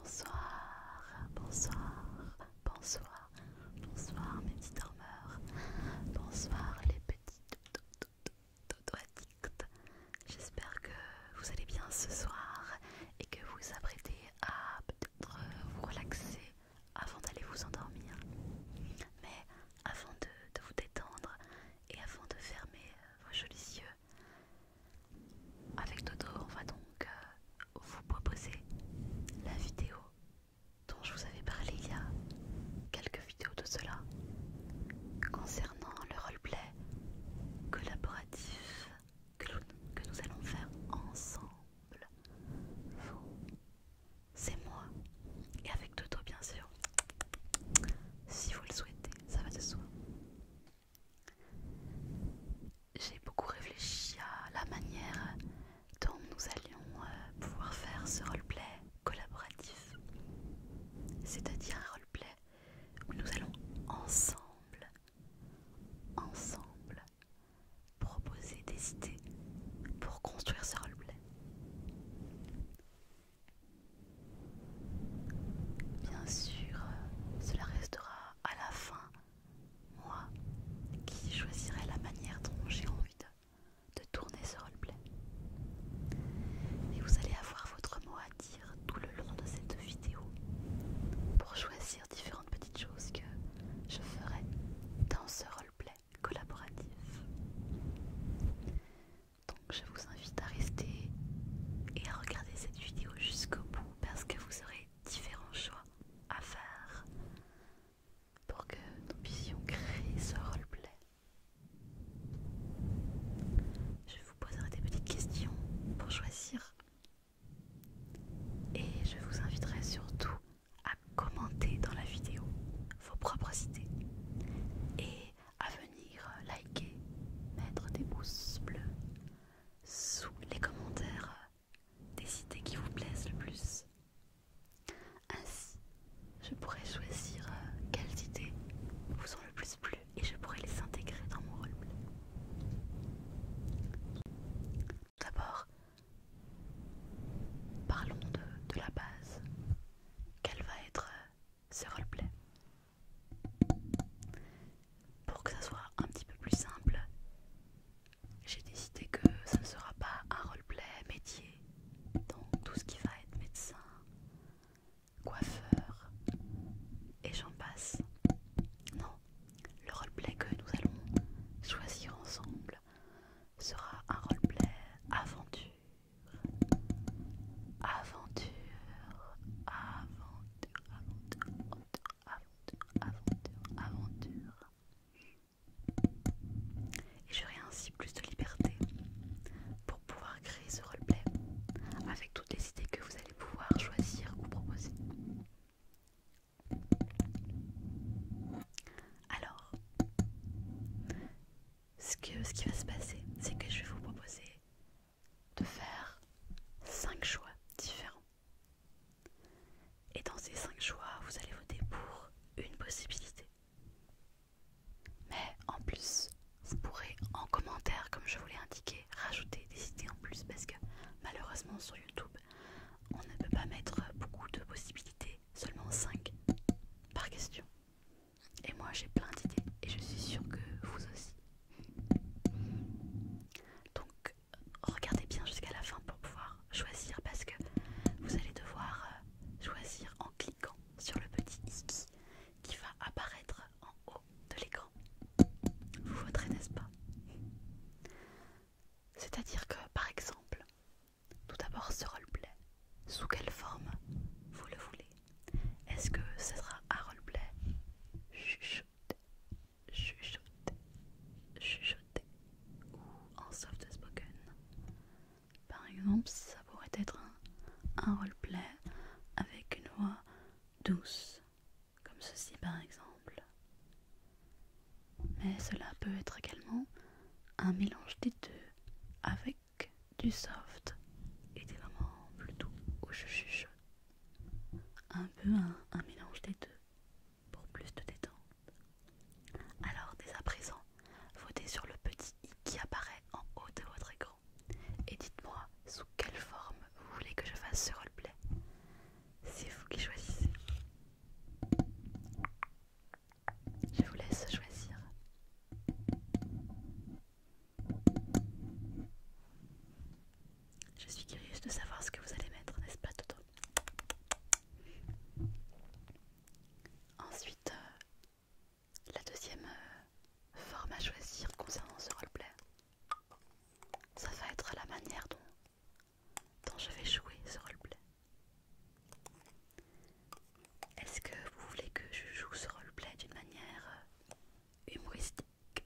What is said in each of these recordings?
Bonsoir, bonsoir, bonsoir, bonsoir bonsoir mes petits dormeurs, bonsoir les petits addicts. J'espère que vous allez bien ce soir et que vous apprêtez à euh, vous relaxer avant d'aller vous endormir. Mais avant de, de vous détendre et avant de fermer euh, vos jolis yeux, avec Dodo, on va donc euh, vous proposer la vidéo dont je vous avais parlé il y a quelques vidéos de cela concernant le roleplay collaboratif que nous, allons faire ensemble. Vous, c'est moi. Et avec Toto, bien sûr. Si vous le souhaitez, ça va de soi. J'ai beaucoup réfléchi à la manière dont nous allions euh, pouvoir faire ce roleplay collaboratif. C'est-à-dire un roleplay où nous allons ensemble, ensemble, proposer des idées pour construire ce roleplay. Bien sûr, cela restera à la fin, moi qui choisirai la manière dont j'ai envie de, tourner ce roleplay. Mais vous allez avoir votre mot à dire tout le long de cette vidéo pour choisir différentes petites choses que je ferai dans ce roleplay collaboratif. Donc je vous invite à rester et à regarder cette vidéo jusqu'au bout parce que vous aurez différents choix à faire pour que nous puissions créer ce roleplay. Je vous poserai des petites questions pour choisir et je vous inviterai surtout à commenter dans la vidéo vos propres idées et à venir liker, mettre des pouces bleus sous les commentaires des idées qui vous plaisent le plus. Ainsi, je pourrai choisir quelles idées vous ont le plus plu et je pourrai les intégrer dans mon roleplay. D'abord, parlons de, la base. Quel va être euh, ce roleplay Pour que ça soit un petit peu plus simple, j'ai décidé que ça ne sera pas un roleplay métier, donc tout ce qui va être médecin, coiffeur, et j'en passe. Non, le roleplay que nous allons choisir ensemble sera un roleplay aventure. Aventure, aventure, aventure, aventure, aventure, Et j'aurai ainsi plus de liberté pour pouvoir créer ce roleplay avec toutes les idées que vous allez pouvoir choisir ou proposer. Alors, ce, qui va se passer, c'est que je vais vous proposer de faire 5 choix différents. Et dans ces 5 choix, vous allez voter pour une possibilité. Mais en plus, vous pourrez en commentaire, comme je vous l'ai indiqué, rajouter des idées en plus parce que malheureusement sur YouTube, on ne peut pas mettre beaucoup de possibilités, seulement 5 par question. Et moi j'ai plein d'idées et je suis sûre que vous aussi. Donc regardez bien jusqu'à la fin pour pouvoir choisir parce que vous allez devoir euh, choisir en cliquant sur le petit i qui va apparaître en haut de l'écran. Vous voterez, n'est-ce pas c'est-à-dire que, par exemple, tout d'abord ce roleplay, sous quelle forme vous le voulez Est-ce que ce sera un roleplay chuchoté, chuchoté, chuchoté ou en soft spoken Par exemple, ça pourrait être un, un roleplay avec une voix douce, comme ceci par exemple. Mais cela peut être également un mélange des deux avec du soft et des moments plus doux où je Un peu un, un mélange des deux pour plus de détente. Alors dès à présent, votez sur le petit i qui apparaît en haut de votre écran et dites-moi sous quelle forme vous voulez que je fasse ce roleplay. C'est vous qui choisissez. Je vous laisse choisir. Je suis curieuse de savoir ce que vous allez mettre, n'est-ce pas Toto Ensuite, euh, la deuxième euh, forme à choisir concernant ce roleplay, ça va être la manière dont dont je vais jouer ce roleplay. Est-ce que vous voulez que je joue ce roleplay d'une manière euh, humoristique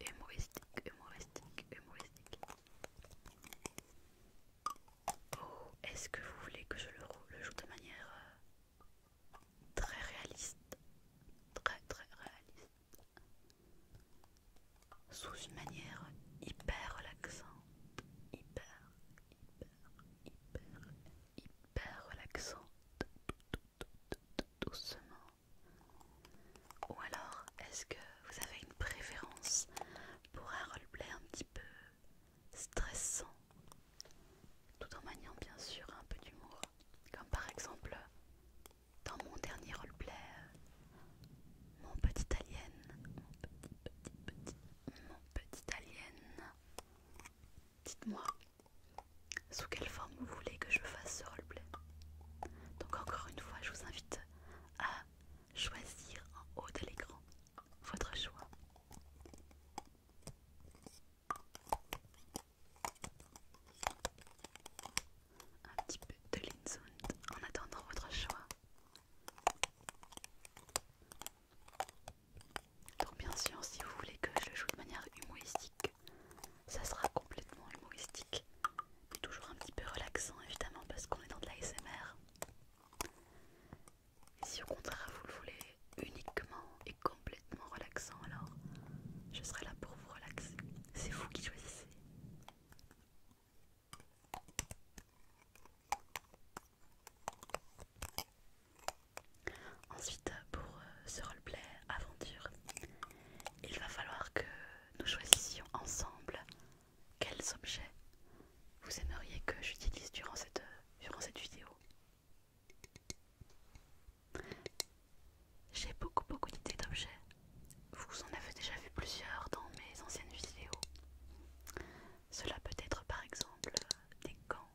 Humoristique, humoristique, humoristique. Ou oh, est-ce que vous voulez que je le, joue de manière euh, très réaliste Très très réaliste sous une manière hyper relaxante, hyper, hyper, hyper, hyper relaxante, doucement. Ou alors, est-ce que vous avez une préférence pour un roleplay un petit peu stressant, tout en maniant bien sûr un peu d'humour, comme par exemple dans mon dernier roleplay, euh, mon petit alien, mon petit, petit, petit, mon petit alien, dites-moi sous quelle forme vous voulez que je fasse ce roleplay. Donc encore une fois, je vous invite à choisir en haut de l'écran votre choix un petit peu de l'insound en attendant votre choix. Donc bien sûr, si vous voulez que je le joue de manière humoristique, ça sera complètement humoristique, Et toujours un petit peu relaxant évidemment parce qu'on est dans de la Et si au contraire vous le voulez uniquement et complètement relaxant, alors je serai là pour vous relaxer. C'est vous qui choisissez. Ensuite, pour euh, ce roleplay aventure, il va falloir que nous choisissions ensemble quels objets vous aimeriez que j'utilise durant cette, euh, durant cette vidéo. J'ai beaucoup beaucoup d'idées d'objets vous en avez déjà vu plusieurs dans mes anciennes vidéos. Cela peut être par exemple des gants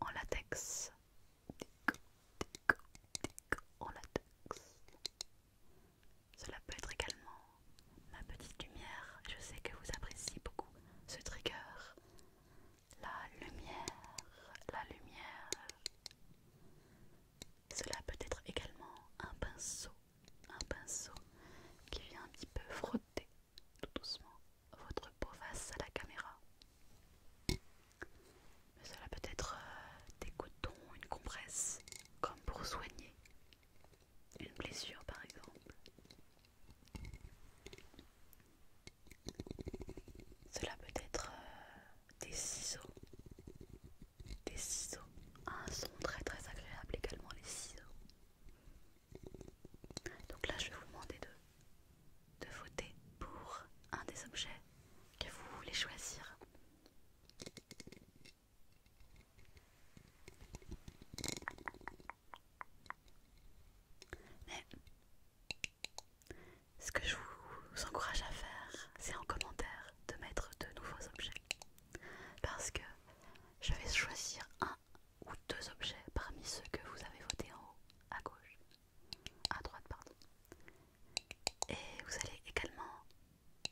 en latex. Des gants, des gants, des gants en latex. Cela peut être également ma petite lumière. Je sais que vous appréciez beaucoup ce trigger. La lumière, la lumière. Cela peut être également un pinceau, un pinceau qui vient un petit peu frotter tout doucement votre peau face à la caméra. Mais cela peut être euh, des cotons, une compresse, comme pour soigner une blessure par exemple. Cela peut être euh, des ciseaux. Des ciseaux. Un son très très agréable également les ciseaux. Donc là je vais vous demander de, de voter pour un des objets que vous voulez choisir. Mais ce que je vous encourage à faire, c'est en commentaire de mettre de nouveaux objets. Parce que je vais choisir un ou deux objets parmi ceux que vous avez voté en haut, à gauche, à droite, pardon. Et vous allez également,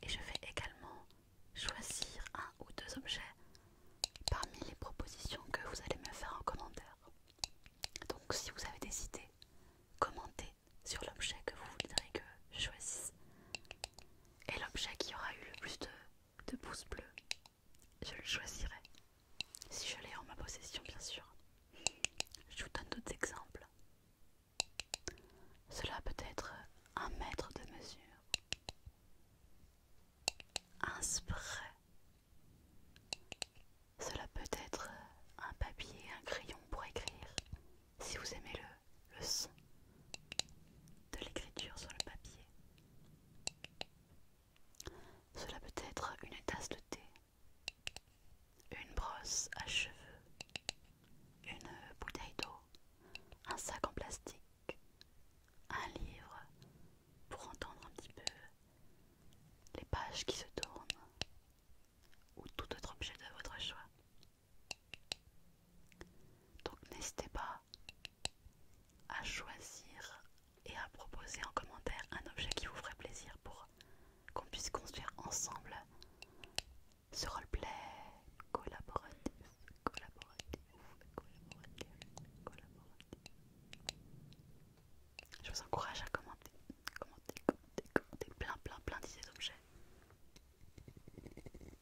et je vais également choisir un ou deux objets parmi les propositions que vous allez me faire en commentaire. Donc si vous avez des idées, commentez sur l'objet que vous voudrez que je choisisse. Et l'objet qui aura eu le plus de, pouces bleus, je le choisirai. Si je l'ai en ma possession, bien sûr. Je vous donne d'autres exemples. Cela peut être un mètre de mesure, un spray. Cela peut être un papier, un crayon pour écrire, si vous aimez le, son de l'écriture sur le papier. Cela peut être une tasse de thé, une brosse à cheveux, une bouteille d'eau, un sac en plastique, un livre pour entendre un petit peu les pages qui se tournent ou tout autre objet de votre choix. Donc n'hésitez pas à choisir et à proposer en commentaire un objet qui vous ferait plaisir pour qu'on puisse construire ensemble ce roleplay collaboratif, Je vous encourage à commenter, commenter, commenter, commenter plein, plein, plein d'idées d'objets.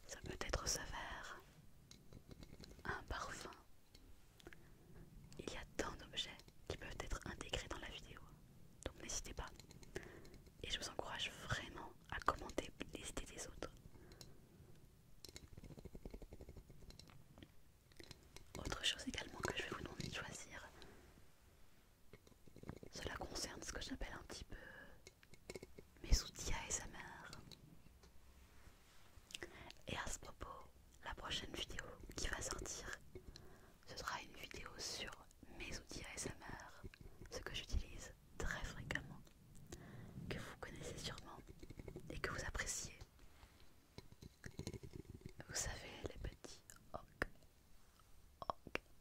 Ça peut être vert. un parfum. Il y a tant d'objets qui peuvent être intégrés dans la vidéo, donc n'hésitez pas. Et je vous encourage vraiment à commenter les idées des autres. Autre chose également que je vais vous demander de choisir, cela concerne ce que j'appelle un petit peu mes outils ASMR. Et à ce propos, la prochaine vidéo qui va sortir, ce sera une vidéo sur mes outils ASMR, ce que j'utilise très fréquemment, que vous connaissez sûrement et que vous appréciez. Vous savez les petits ok,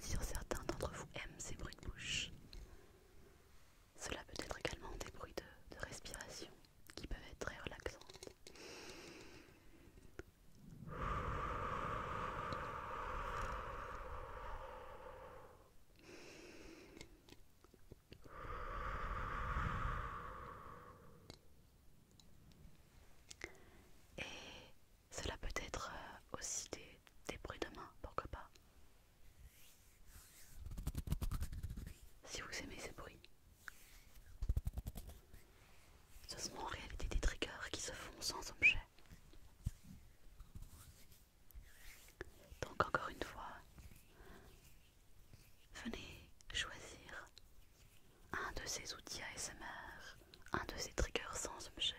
Si certains d'entre vous aiment ces bruits de bouche. Cela peut être également des bruits de, respiration qui peuvent être très relaxants. Et cela peut être euh, aussi des, bruits de main, pourquoi pas. Si vous aimez ces bruits. Ce sont en réalité des triggers qui se font sans objet. Donc encore une fois, venez choisir un de ces outils ASMR, un de ces triggers sans objet,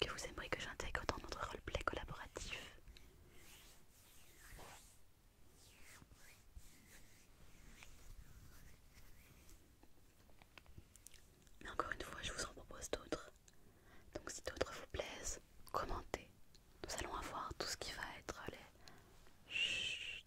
que vous aimeriez que j'intègre dans notre roleplay collaboratif. Mais encore une fois, je vous en propose d'autres. Donc si d'autres vous plaisent, commentez. Nous allons avoir tout ce qui va être les... Chut.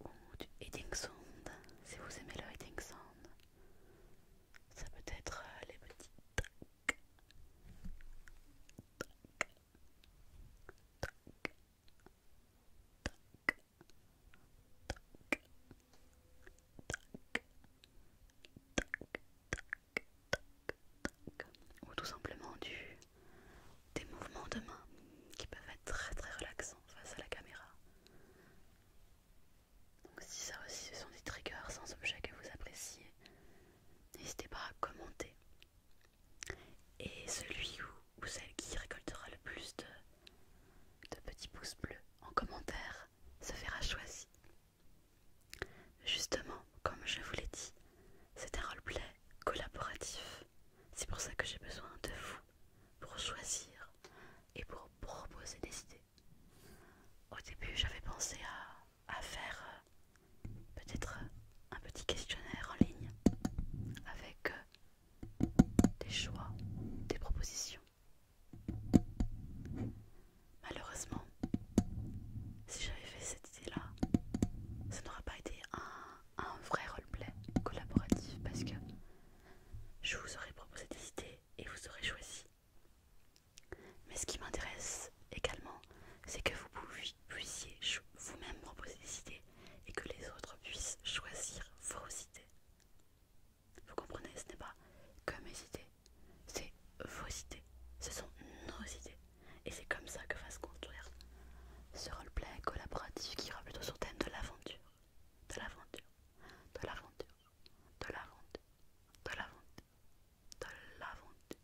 ou du heading sound si vous aimez le heading sound ça peut être les petits tac tac tac tac tac tac tac tac tac ou tout simplement du, des mouvements de main qui peuvent être très très relaxants face à la caméra. Donc si ça aussi ce sont des triggers sans objet que vous appréciez, n'hésitez pas à commenter. Et celui ou, celle qui récoltera le plus de, de petits pouces bleus en commentaire se fera choisir. Justement, comme je vous l'ai dit, c'est un roleplay collaboratif. C'est pour ça que j'ai besoin de vous pour choisir et pour proposer des idées. Au début, j'avais pensé à, faire euh, peut-être euh, un petit questionnaire en ligne avec euh, des choix, des propositions. Malheureusement, si j'avais fait cette c'est là, ça n'aura pas été un, un vrai roleplay collaboratif parce que je vous aurais proposé des idées et vous aurez choisi. Mais ce qui m'intéresse également, c'est que vous puissiez vous-même proposer des idées et que les autres puissent choisir vos idées. Vous comprenez, ce n'est pas que mes idées, c'est vos idées, ce sont nos idées. Et c'est comme ça que va se construire ce roleplay collaboratif qui ira plutôt sur le thème de l'aventure, de l'aventure, de l'aventure, de l'aventure, de l'aventure, de l'aventure,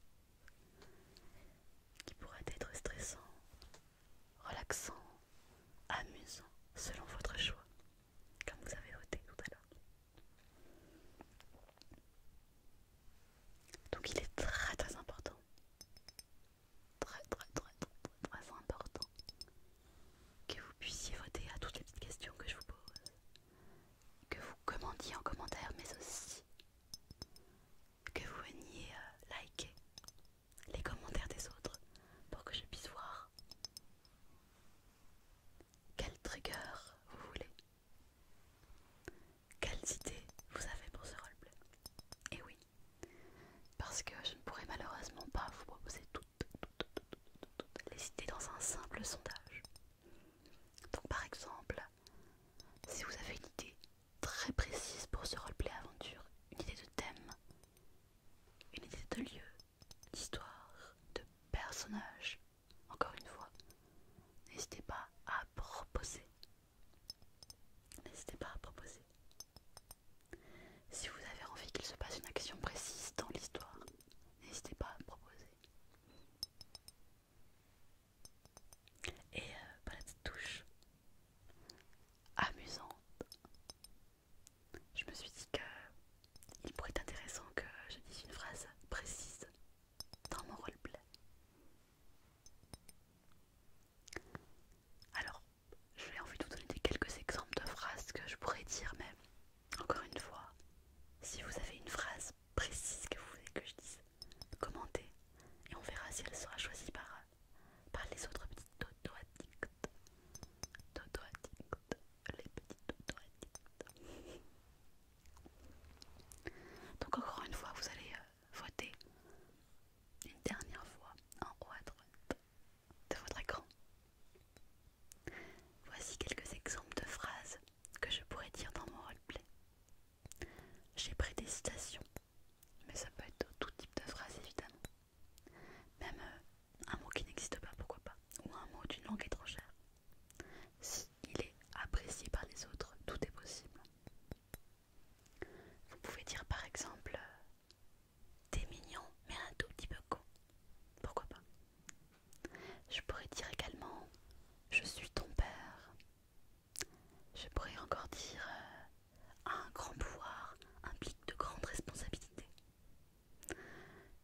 qui pourrait être stressant, relaxant, amusant, selon votre choix, comme vous avez voté tout à l'heure. Donc il est très très important Très, très, très, très, important que vous puissiez voter à toutes les petites questions que je vous pose, que vous commandiez en commentaire, mais aussi que vous veniez euh, liker les commentaires des autres pour que je puisse voir quel trigger vous voulez quelles idées vous avez pour ce roleplay Et eh oui, parce que je ne pourrais malheureusement pas vous proposer toutes, les idées dans un simple sondage. Donc par exemple, si vous avez une idée très précise pour ce roleplay aventure, une idée de thème, une idée de lieu, d'histoire, de personnage, encore une fois, n'hésitez pas à proposer N'hésitez pas à proposer. Si vous avez envie qu'il se passe une action précise dans l'histoire, n'hésitez pas à me proposer. Et euh, la petite touche amusante. Je me suis dit que pourrait être intéressant que je dise une phrase précise dans mon roleplay. Alors, j'ai envie de vous donner quelques exemples de phrases que je pourrais dire, mais encore une fois, si vous avez une phrase précise que vous voulez que je dise, commentez et on verra si elle sera choisie par, par les autres petites dodo addicts. Dodo addicts, les petites dodo addicts. Donc, encore une fois, vous allez euh, votez une dernière fois en haut à droite de votre écran. Voici quelques exemples de phrases que je pourrais dire dans mon roleplay. J'ai pris des citations, mais ça peut être tout type de phrase évidemment. Même euh, un mot qui n'existe pas, pourquoi pas, ou un mot d'une langue étrangère. Si il est apprécié par les autres, tout est possible. Vous pouvez dire par exemple euh, T'es mignon mais un tout petit peu con. Pourquoi pas Je pourrais dire également Je suis ton père. Je pourrais encore dire euh, Un grand pouvoir implique de grandes responsabilités.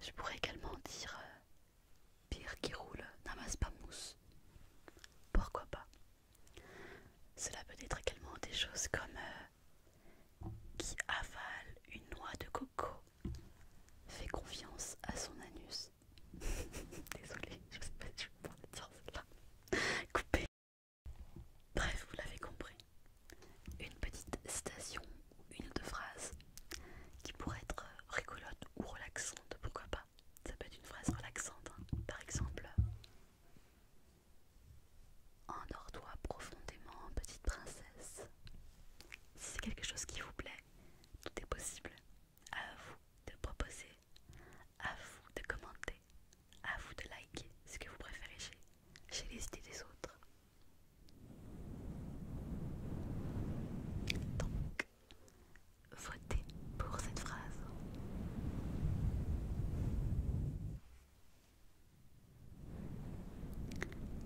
Je pourrais également dire euh, Pire qui roule n'amasse pas mousse. Pourquoi pas cela peut être également des choses comme euh, qui avale une noix de coco fait confiance à son anus. Désolée, je sais pas je vais pouvoir dire là Coupé. Bref, vous l'avez compris. Une petite citation, une ou phrase phrases qui pourrait être rigolote ou relaxante, pourquoi pas. Ça peut être une phrase relaxante, hein. par exemple. Endors-toi profondément, petite princesse. Si c'est quelque chose qui vous plaît, tout est possible. À vous de proposer, à vous de commenter, à vous de liker ce que vous préférez chez, chez les idées des autres. Donc, Votez pour cette phrase.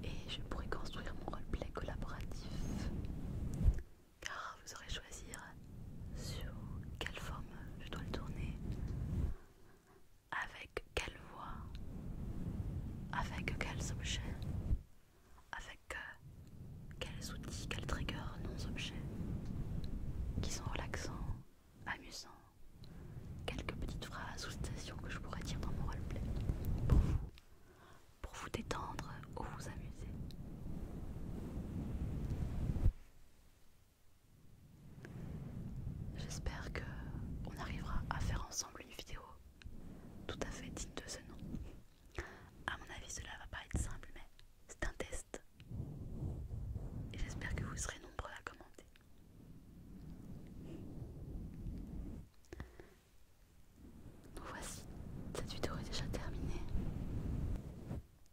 Et je pourrai construire mon roleplay collaboratif. Car vous aurez choisir hein, sur quelle forme je dois le tourner, avec quelle voix, avec quels objets, avec euh, quels outils, quels triggers, non objets qui sont relaxants, amusants, quelques petites phrases ou citations que je pourrais dire dans mon roleplay pour vous, pour vous détendre ou vous amuser. J'espère que on arrivera à faire ensemble une vidéo tout à fait digne de ce nom. À mon avis, cela va pas être simple, mais c'est un test. Et j'espère que vous serez nombreux à commenter. Donc voici, cette vidéo est déjà terminée.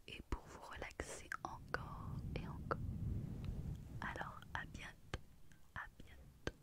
Et pour vous relaxer encore et encore. Alors à bientôt, à bientôt.